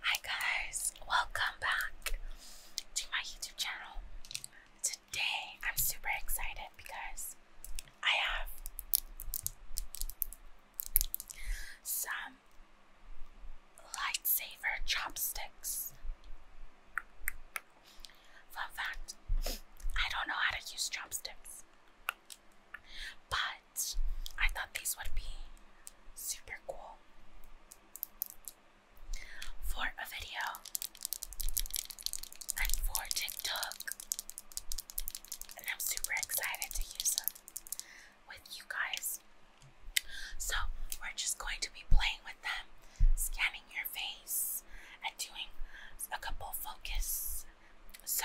Hi guys, welcome back to my YouTube channel. Today I'm super excited because I have some lightsaber chopsticks. Fun fact, I don't know how to use chopsticks. But I thought these would be super cool for a video and for TikTok. And I'm super excited to use them with you guys. So, we're just going to be playing with them, scanning your face, and doing a couple focus. So,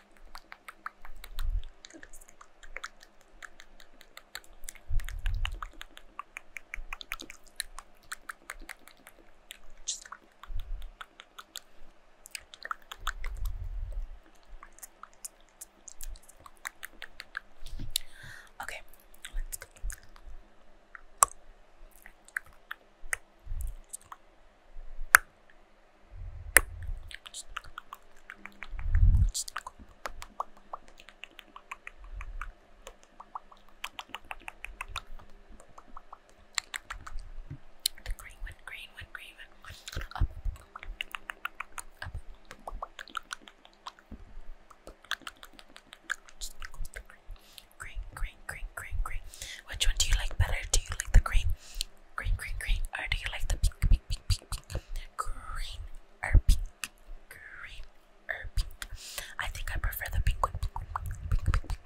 Just Okay, let's go. Okay green one, green one, green one. Up. Up. Green, green, green, green, green. Which one do you like better? Do you like the green Green, green, green. Or oh, do you like the pink, pink, pink, pink, pink? Green or pink? Green or pink? I think I prefer the pink one. Pink, pink, pink, pink.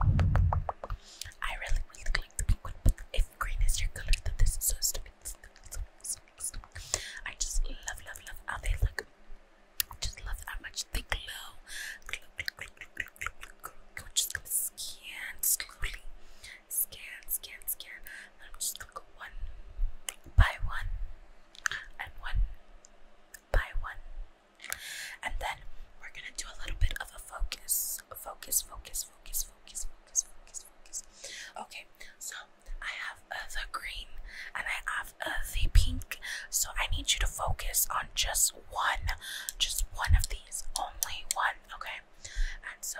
I really, really like the pink one. If green is your color, then this is so stupid. I just love, love, love how they look. I just love how much they glow. Glow, glow, glow, glow, glow, glow, glow. Just gonna scan slowly, scan, scan, scan. I'm just gonna go one by one and one by one. And then we're gonna do a little bit of a focus. Focus, focus, focus, focus, focus, focus, Okay, so I have uh, the green and I have uh, the pink. So I need you to focus on just one, just one of these, only one, okay? And so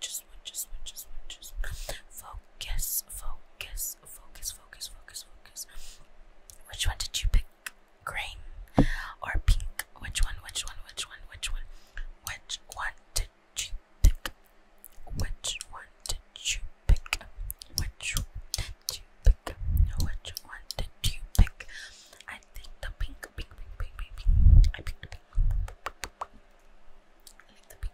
just one, just one, just one, just focus, focus, focus, focus, focus, focus. Which one did you pick? Green or pink? Which one? Which one? Which one? Which one? Which one did you pick? Which one did you pick? Which one did you pick? Which one did you pick? I think the pink, pink, pink, pink, pink. I picked the pink. I like the pink.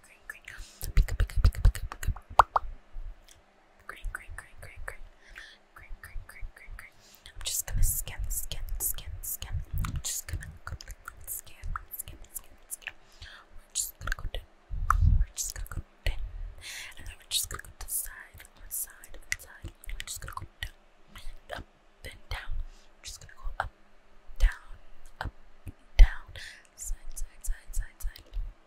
green, green, green, green, green, green, green, green. Green, green, green, green, green. I'm just gonna scan, scan, scan, scan. I'm just gonna go scan, scan, scan, scan. We're just gonna go down. We're just gonna go down. And then we're just gonna go to the side, one side, one side. We're just gonna go down, up, and down. We're just gonna go up, down, up, down, side, side, side, side, side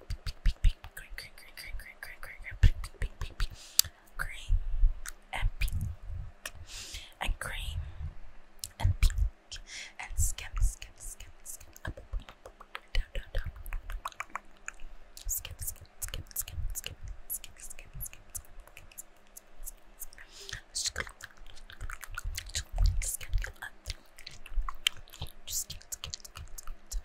green and pink and green and pink and skim skim skim skim up down down down skim skim skim skim skim skim skim skim just get just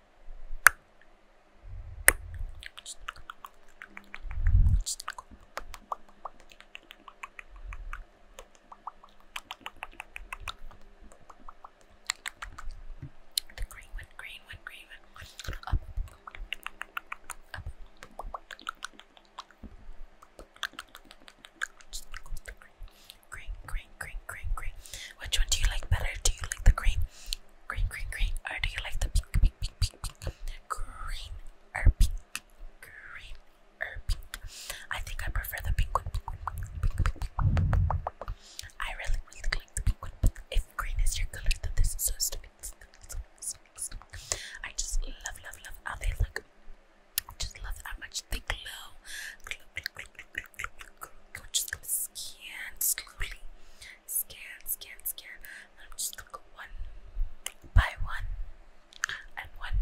The green one, green one, green one. Up. Up. Just go with the green green, green, green, green, green. Which one do you like better? Do you like the green, green, green, green, or do you like the pink, pink, pink, pink, pink, green or pink, green or pink? I think I prefer the pink I really, really like the pink But if green is your color, then this is so stupid. I just love, love, love how they look. I just love how much much glow. just gonna scan slowly. Scan, scan, scan. I'm just gonna go one by one and one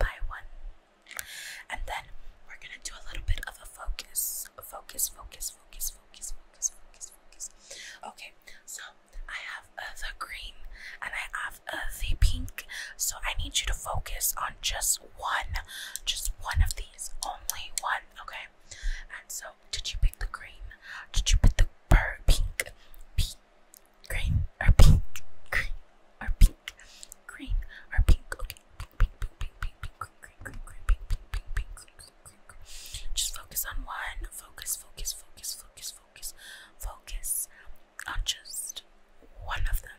by one. And then we're gonna do a little bit of a focus. Focus, focus, focus, focus, focus, focus, Okay, so I have the green and I have the pink. So I need you to focus on just one, just one of these, only one, okay? And so, did you pick the green? Did you pick the pur pink, pink, green, or pink, green, or pink, green, or pink? Okay, pink, pink, pink, pink, pink, pink, green, green, green, green, pink, pink, pink, pink, green, green, green, green. Just focus on one. Focus, focus, focus, focus, focus, focus on just one of them.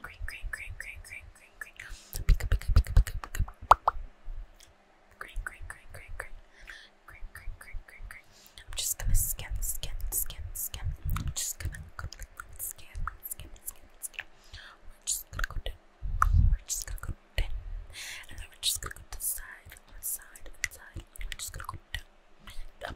Green, green, green, green, green, green, green. Pick up, pick up, pick up, pick up, pick up. Green, green, green, green, green. Green, green, green, green, green. I'm just gonna scan, scan, scan, scan. I'm just gonna go scan, scan, scan, scan. We're just gonna go down. We're just gonna go down. And then we're just gonna go to the side, on side, on side. We're just gonna go down. Down,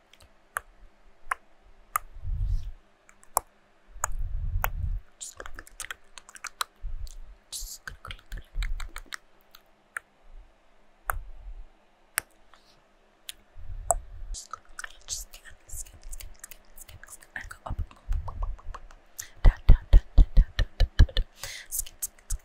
Just gonna just gonna go through just gonna just scan, scan, scan, scan, scan, scan, and go up, up, up, up, up, up, down, down, down, down, down, down, down, down, scan, scan, scan,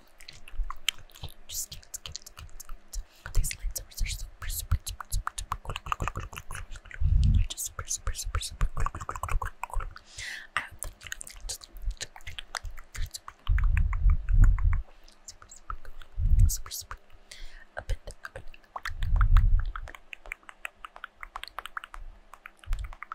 Just cute, cute, cute, cute. These lightsabers are super, super, super, super, super cool. They're just super, super, super, super cool. I hope that you like them. Just super, super cool. Super, super. Up and up and up.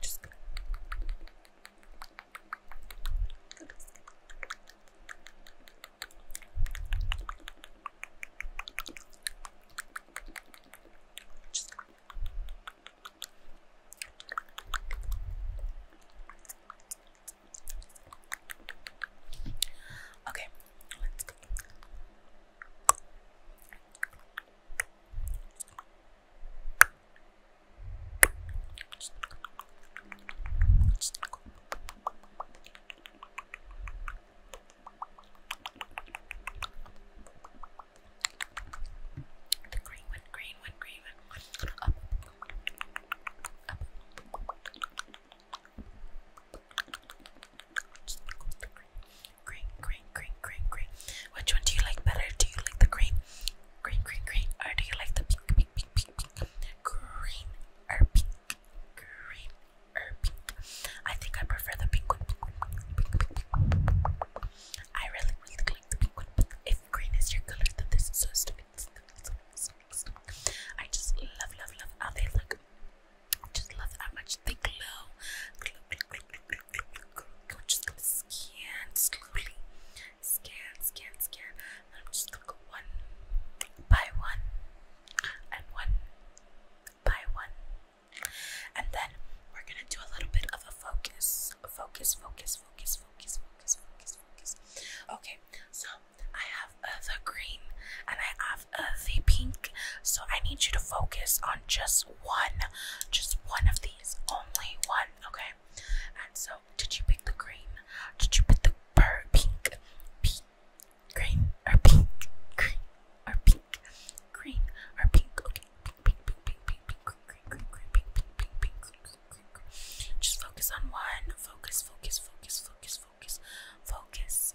Just Okay, go. The green one, green one, green one. Up. Up. Green, green, green, green, green. Which one do you like better? Do you like the green? Green, green, green. do you like the pink, pink, pink, pink, pink? Green or pink? Green or pink? I think I prefer the pink one. I really, really like the pink one. if green is your color, then this is so stupid. I just love, love, love how they look. Just love how much they glow. just gonna scan slowly. Scan, scan, scan. I'm just gonna go one by one and one by one. And then we're gonna do a little bit of a focus. Focus, focus, focus, focus, focus, focus, focus. Okay, so I have the green and I have the pink. So I need you to focus on just one, just one of these, only one, okay? And so, did you pick the green? Did you pick the pink? Pink, green, or pink, green, or pink, green, or pink? Okay, pink, pink, pink, pink, pink, green, green, green, pink, pink, pink, pink, green, green, green. Just focus on one. Focus, focus, focus, focus, focus, focus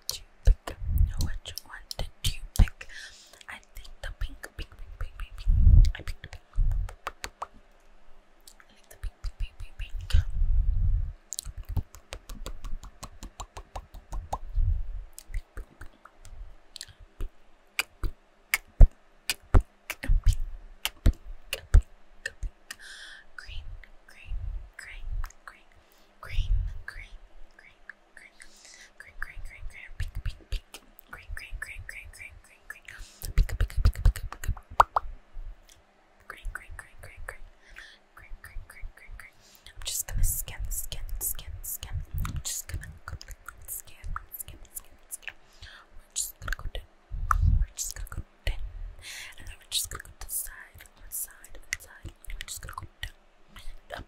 did you pick? Which one did you pick? I think the pink, pink, pink, pink, pink, I picked the pink. I like the pink, pink, pink, pink, pink. Green, green, green, green, green, green, green, I'm just gonna scan, scan, scan, scan. I'm just gonna go scan, scan, scan, scan. We're just gonna go down. We're just gonna go down. And then we just gonna go to the side, on the side, on the side. We're just gonna go down, up,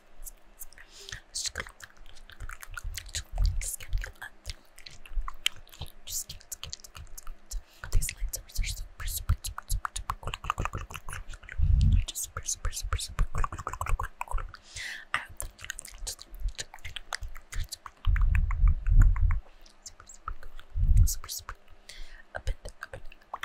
Just get it, get it, get it, get it. These lights are super, super, super, super, super cool. Just super, super, super, super cool. I hope that you like it. Super, super cool. Super, super. Up and up and up.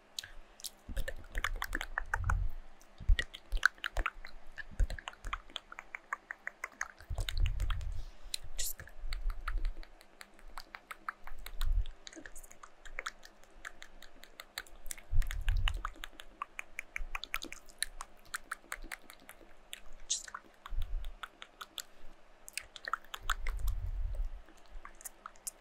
Just gonna... Just gonna... Just gonna...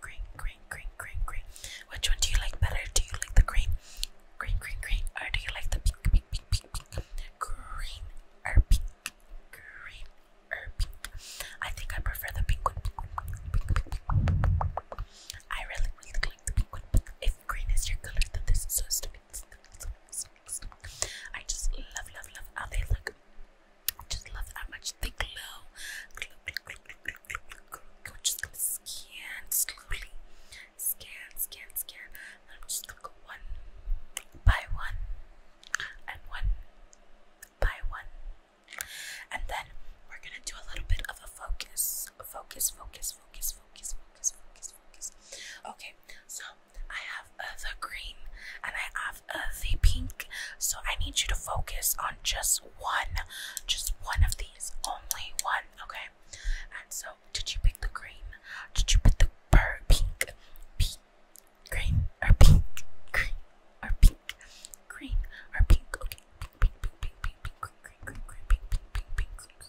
Green, green, green, green, green. Which one do you like better? Do you like the green? Green, green, green. Or do you like the pink, pink, pink, pink, Green or pink? Green or pink? I think I prefer the pink one. I really, really like the pink one. if green is your color, then this is so stupid lipstick. I just love, love, love how they look. I just love how much they glow. Glow, glow, glow, glow, glow, glow, glow, glow. I'm just gonna scan slowly. Scan, scan, scan. And I'm just gonna go one by one and one by one. And then we're gonna do a little bit of a focus. Focus, focus, focus, focus, focus, focus, focus. Okay, so I have the green and I have the pink. So I need you to focus on just one, just one of these, only one, okay? And so, did you pick the green? Did you pick the pink? Pink, green, or pink, green, or pink, green, or pink? Okay, pink, pink, pink, pink, pink, green, green, green, pink, pink, pink, pink, green,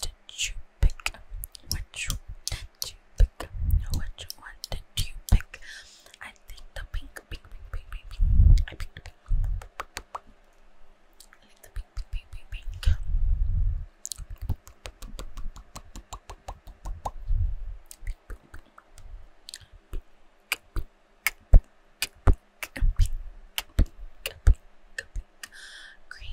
did you pick? Which one did you pick? Which one did you pick? I think the pink, pink, pink, pink, pink, pink. I picked the pink. I like the pink, pink, pink, pink, pink. Green,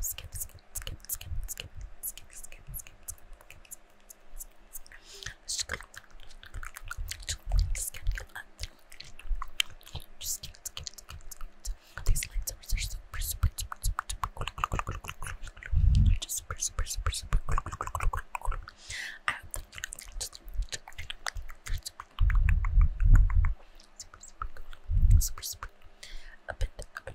skip, skip, skip, skip, skip, skip, skip, skip, skip, skip, just skip, skip, skip, These lightsabers are super, super, super, super, super cool. Just super, super, super, super cool. I hope that you just super, super cool. Super, super. A bit, a bit,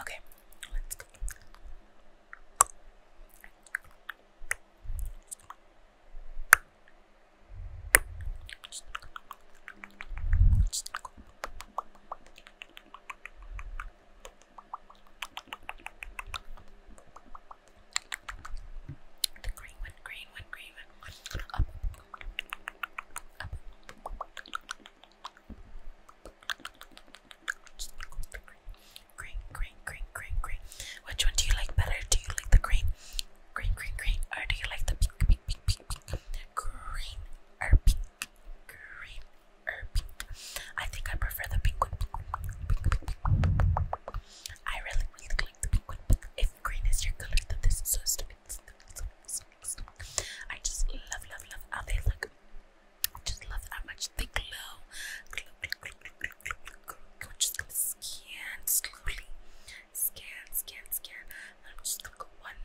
Okay, let green green green Green, green, Which one do you like better? Do you like the green, green, green, green, or do you like the pink, pink, pink, pink, Green or pink, green or pink? I think I prefer the pink one. pink. I really, really like the pink one, but if green is your color, then this is so stupid. I just love, love, love how they look. I just love how much they glow. Glow, glow, glow, glow, glow. I'm just gonna scan slowly. Scan, scan, scan. I'm just gonna go one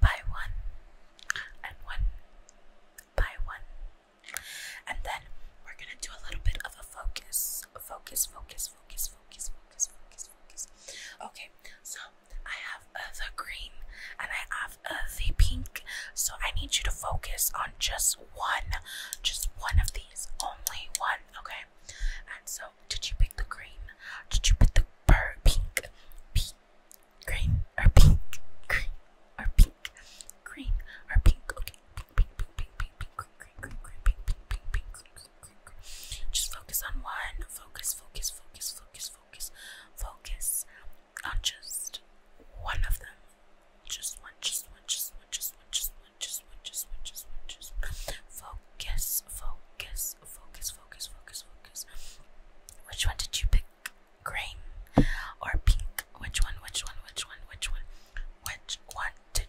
by one and one by one. And then we're gonna do a little bit of a focus. Focus, focus, focus, focus, focus, focus, focus, Okay, so I have the green and I have the pink. So I need you to focus on just one, just one of these, only one. Okay, and so did you pick the green? Did you pick the Pink, green, or pink, green, or pink, green, or pink. Okay, just focus on one. Focus, focus, focus, focus, focus, focus on just one of them. Just one, just one, just one, just one, just one, just one, just one, just one, Focus, focus, focus, focus, focus, focus. Which one did you pick? Green or pink? Which one? Which one? Which one? Which one? Which one did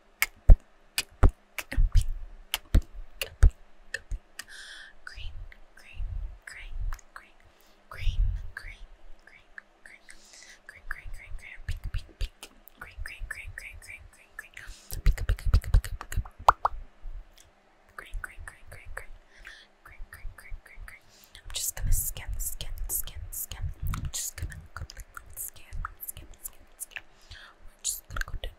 green, green, green, green, green, green, green, green, green, green, green, green, pink, pink, pink, green, green, green, green, green, green, green, pink, pink, pink, pink, pink, green, green, green, green, green, green, green, green, green, green. I'm just gonna scan, scan, scan, scan. I'm just gonna go scan, scan, scan, scan. We're just gonna go down,